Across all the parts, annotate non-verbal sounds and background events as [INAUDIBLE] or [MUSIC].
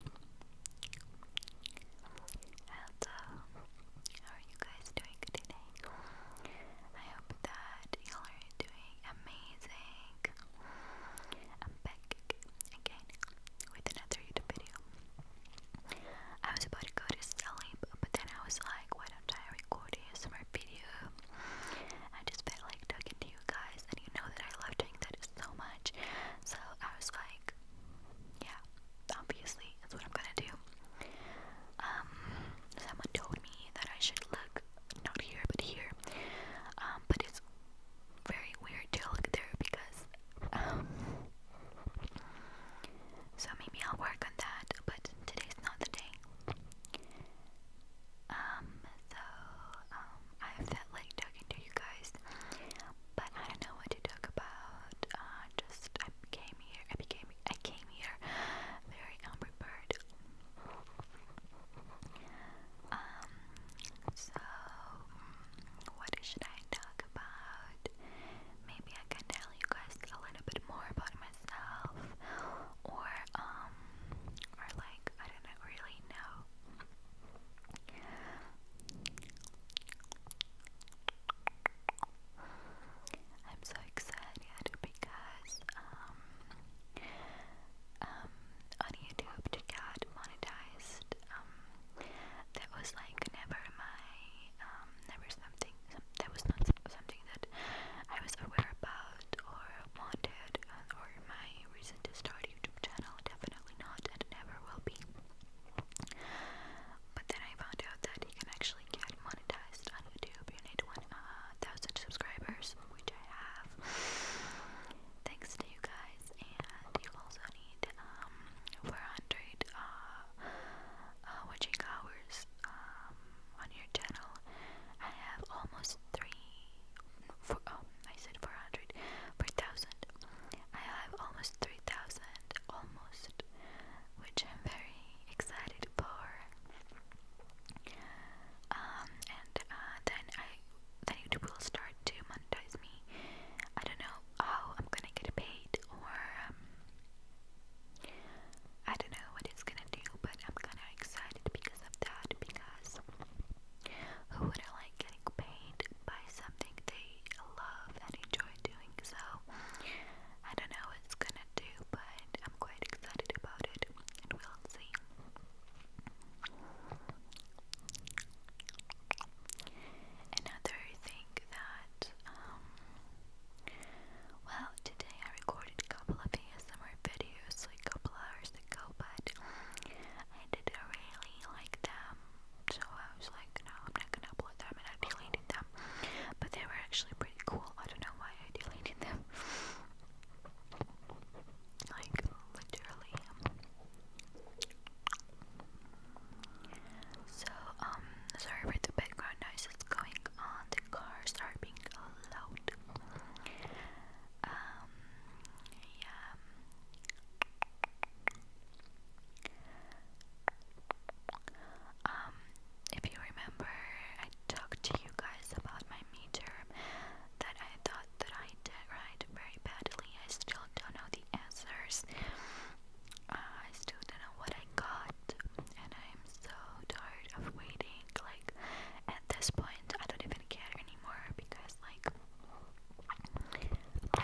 Hello, uh, how are you guys doing today? I hope that y'all are doing amazing. I'm back again with another YouTube video. I was about to go to sleep, but then I was like, why don't I record a summer video? I just felt like talking to you guys guys, and you know that I love doing that so much. So I was like, yeah, obviously, that's what I'm gonna do. Um, someone told me that I should look not here but here, um, but it's very weird to look there because, um, so maybe I'll work on that, but today's not the day. Um, so, um, um, I have that like talking to you guys, but I don't know what to talk about. Uh, just I came here. I became. I came here very unprepared. Um. So, mm, what should I talk about? Maybe I can tell you guys a little bit more about myself, or um, or like I don't know, really know I'm so excited because um, um on YouTube to get monetized um that was like never my um never something that was not something that I was aware about or wanted uh, or my reason to start a YouTube channel, definitely not and never will be. But then I found out that you can actually get monetized on YouTube. You need 1,000 uh, subscribers, which I have. Thanks to you guys, and you also need um, 400 uh, uh, watching hours um, on your channel. I have almost three for, oh, I said 400, 4,000. I have almost 3,000, almost, which I'm very excited for. Um, and uh, then I, then YouTube will start to monetize me. I don't know how I'm gonna get paid, or um, I don't know what it's gonna do, but I'm kinda excited because of that, because who wouldn't like getting paid by something they love and enjoy doing? So, I don't know what gonna do, but I'm quite excited about it, and we'll see. Another thing that, um, well, today I recorded a couple of ASMR videos, like a couple hours ago, but I didn't really like them, so I was like, no, I'm not gonna upload them, and I deleted them. But they were actually pretty cool. I don't know why I deleted them. Like literally. So um, sorry for the background noise that's going on. The cars are being loud. Um, yeah. Um, if you remember, I talked to you guys about my meter that I thought that I did right very badly. I still don't know the answers. Uh, I still don't know what I got, and I'm so tired of waiting. Like, at this point, I don't even good kid anymore because like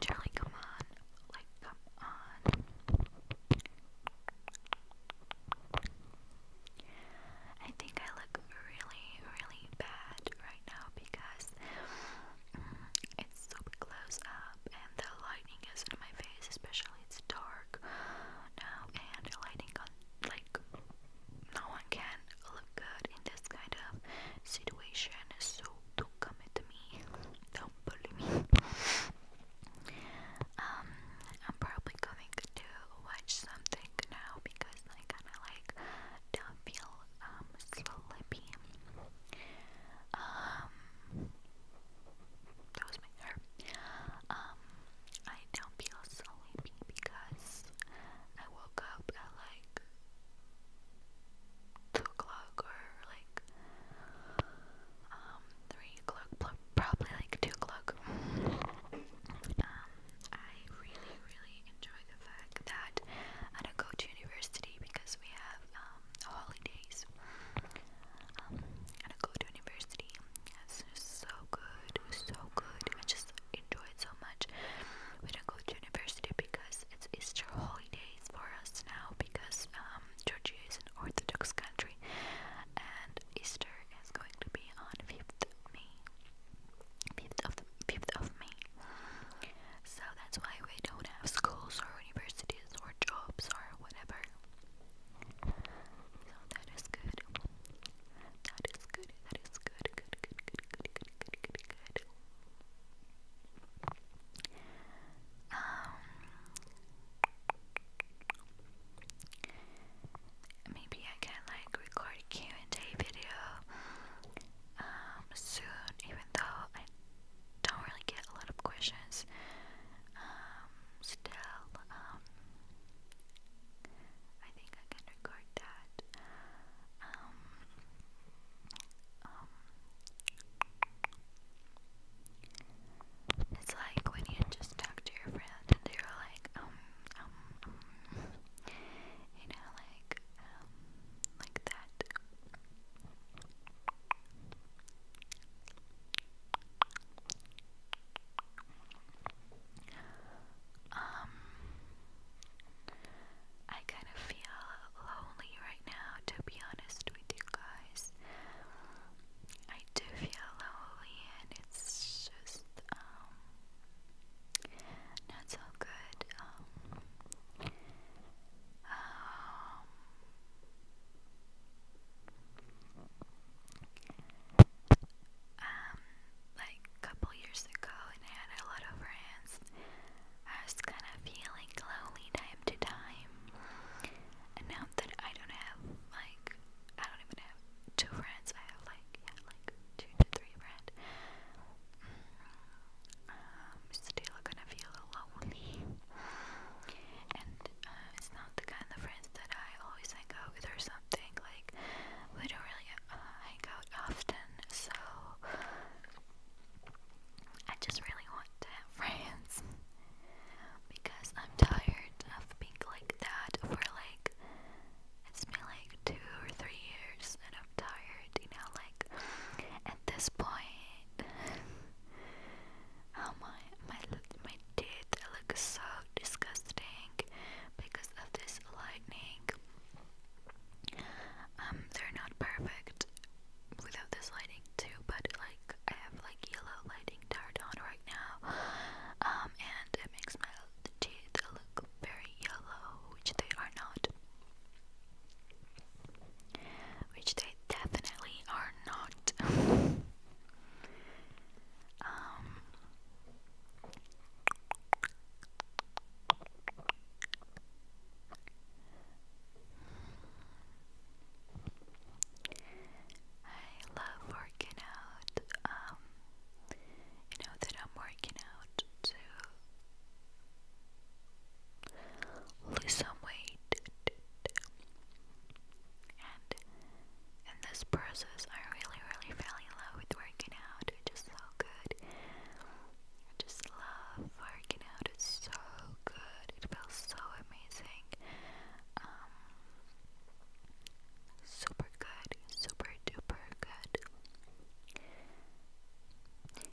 Charlie come on like come on I think I look really really bad right now because mm, it's super close up and the lighting is in my face especially it's dark now and the lighting on like now one can look good in this kind of situation, so don't come at me, don't bully me. Um, I'm probably going to watch something now because I kind of like don't feel um sleepy. Um, that was my hair. Um, I don't feel so sleepy because I woke up at like two o'clock or like um, three o'clock, probably like two o'clock. Um, I really, really enjoy the fact that I don't go to university because we have um, holidays. I don't go to university it was so good, so good, I just enjoyed so much. We didn't go to university because it's Easter holidays for us now because um, Georgia is an Orthodox country and Easter is going to be on 5th May, 5th of, the, 5th of May, so that's why we don't have schools or universities or jobs or whatever. So that is good. That is good. That is good. Good, good, good, good, good, good, maybe I can like record Q&A video soon even though I don't really get a lot of questions still, um, I think I can record that. Um, um, it's like when you just talk to your friend and they're like, um, um, you know, like, um, like that. Um, I kind of feel lonely right now, to be honest with you guys. I do feel lonely, and it's just, um, not so good. Um, um um, like a couple years ago, and I had a lot of friends. I was kind of feeling lonely time to time, and now that I don't have like I don't even have two friends. I have like like two to three friends. Um, I'm gonna feel lonely, uh, it's not the kind of friends that I always hang out with or something. Like, we don't really uh, hang out often, so I just really want to have friends [LAUGHS] because I'm tired of being like that for like it's been like two or three years, and I'm tired, you know, like at this point. Oh my, my, my teeth look so disgusting because of this lightning. Um, they're not perfect without this lighting too, but like I have like yellow lighting turned on right now, um, and it makes my teeth look very yellow, which they are not which they definitely are not. [LAUGHS] Um, I love working out. Um, you know that I'm working out to lose some weight. And in this process, I really, really fell in love with working out, which is so good. I just love working out, it's so good. It feels so amazing. Um, super good, super duper good.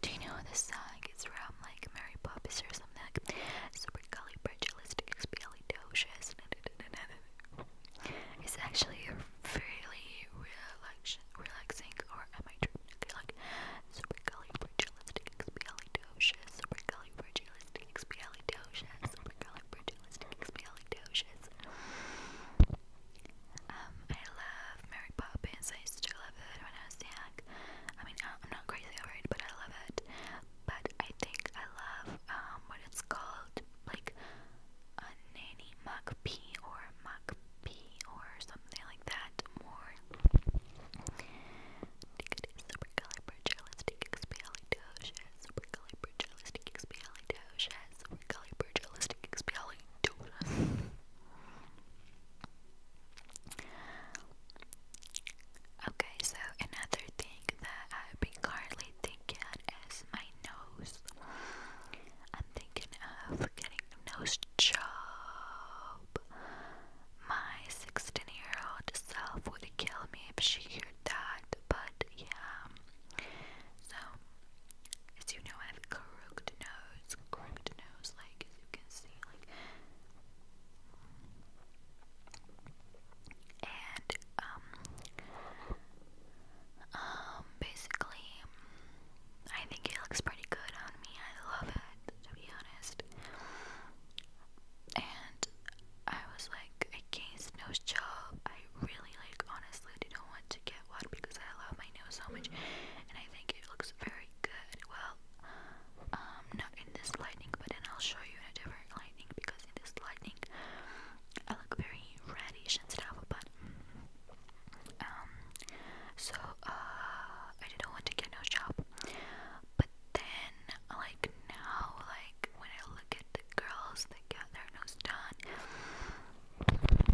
Do you know the song? It's from like Mary Poppins or something like supercalifragilisticexpialidocious. It's actually really relax relaxing, or am I tripping? Okay, like supercalifragilisticexpialidocious, supercalifragilisticexpialidocious, supercalifragilisticexpialidocious. Um, I love Mary Poppins. I used to love it when I was young. I I'm not crazy over it, but I love it. But I think I love um, what it's called, like a nanny mugpie or mugpie or something like that more. Supercalifragilistic expialidocious. Supercalifragilistic expialidocious. Supercalifragilistic expialidocious. Okay, so another thing that I've been currently thinking is my nose. I'm thinking of getting a nose job. My 16 year old self would kill me if she heard that, but yeah. So, as you know, I have a crooked nose, crooked nose, like as you can see, like and um um basically I think it looks pretty good on me. I love it to be honest. And I was like, against gained nose job. I really like honestly didn't want to get one because I love my nose so much and I think it looks very good. Well um, not in this lighting, but then I'll show you a different lighting because in this lighting I look very reddish and stuff. But um, so uh, I didn't want to get no job, but then like now, like when I look at the girls that got their nose done,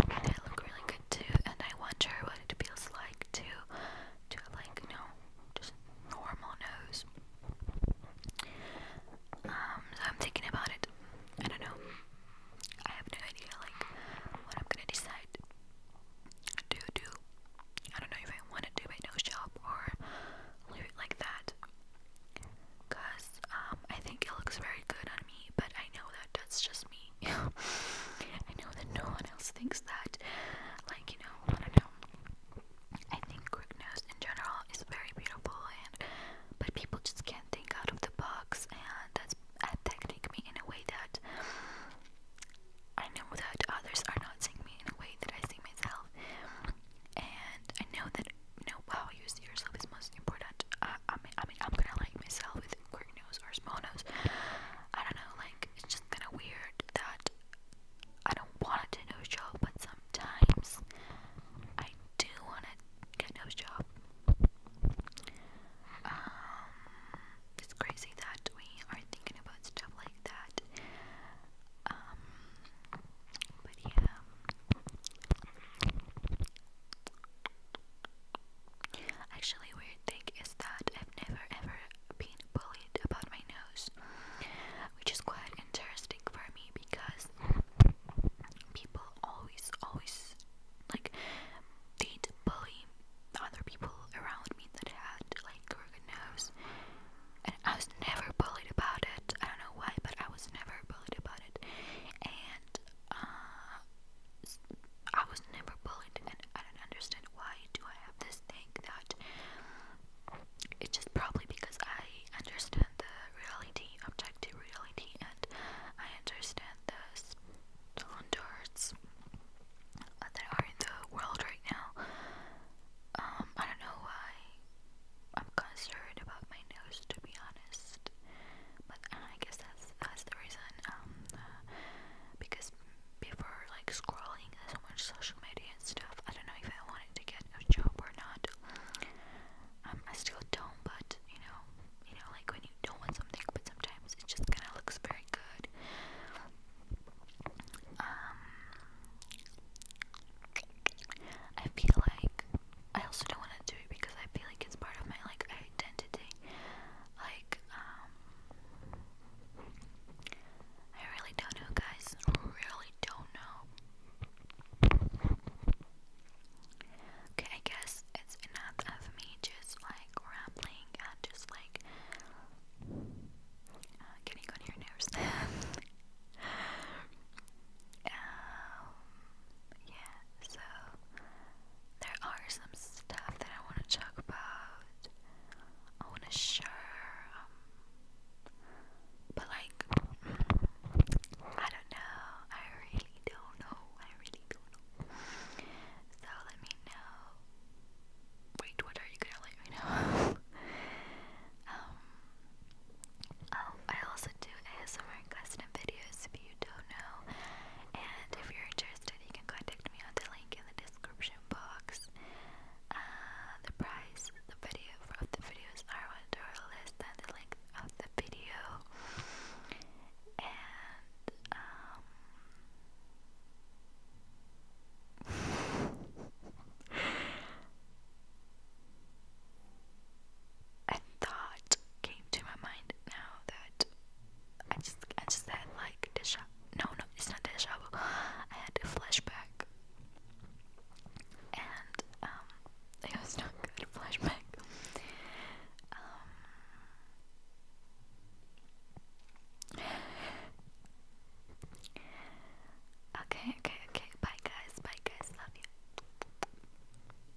they look really good too, and I wonder what it feels like to to like, you just normal nose. Um, I'm thinking about it. I don't know. I have no idea, like, what I'm gonna decide to do. I don't know if I want to do my nose job or leave it like that. Cause um, I think it looks very good on me, but I know that that's just me me. [LAUGHS] I know that no one else thinks that. Like, you know, I don't know. I think Cricknose in general is very beautiful, and but people just can't think out of the box, and that's affecting uh, me in a way that I know that others are not seeing me in a way that I see myself, and I know that you know how you see yourself is most important. I, I mean, I mean, I'm gonna like myself with queer nose or small nose. I don't know, like, it's just kind of weird that I don't want it to nose job, but sometimes I do want to get nose job. Um, it's crazy that we are thinking about stuff like that. Um, but yeah. Actually, we weird is that I've never ever been bullied about my nose, which is quite interesting for me because people always, always like they'd bully other people around me that had like crooked nose, and I was never bullied about it. I don't know why, but I was never bullied about it, and uh, I was never bullied, and I don't understand why do I have this thing that it's just probably because I understand the reality, objective reality, and I understand the standards that are in the world right now. Um, I don't know why I'm concerned about my nose, to be honest but uh, I guess that's that's the reason um uh, because like scrolling so much social media and stuff I don't know if I wanted to get a job or not um, I still don't but you know you know like when you don't want something but sometimes it just kind of looks very good um I feel like I also don't want to do it because I feel like it's part of my like identity. Like um, I really don't know, guys. Really don't know. Okay, I guess it's enough of me just like rambling and just like uh, getting on your nerves. [LAUGHS] Um, yeah, so there are some stuff that I want to talk about. I want to share, um, but like, I don't know. I really don't know. I really don't know. So let me know. Wait, what are you gonna let me know? [LAUGHS] Um, oh, I also do ASMR collection videos if you don't know. And if you're interested, you can contact me on the link in the description box. Uh, the price the video of the videos are one dollar less than the length of the video. And um, [LAUGHS] thought came to my mind now that I just I just had like deja no no it's not deja vu I had a flashback and um, it was not good [LAUGHS] flashback um, okay okay okay bye guys bye guys love you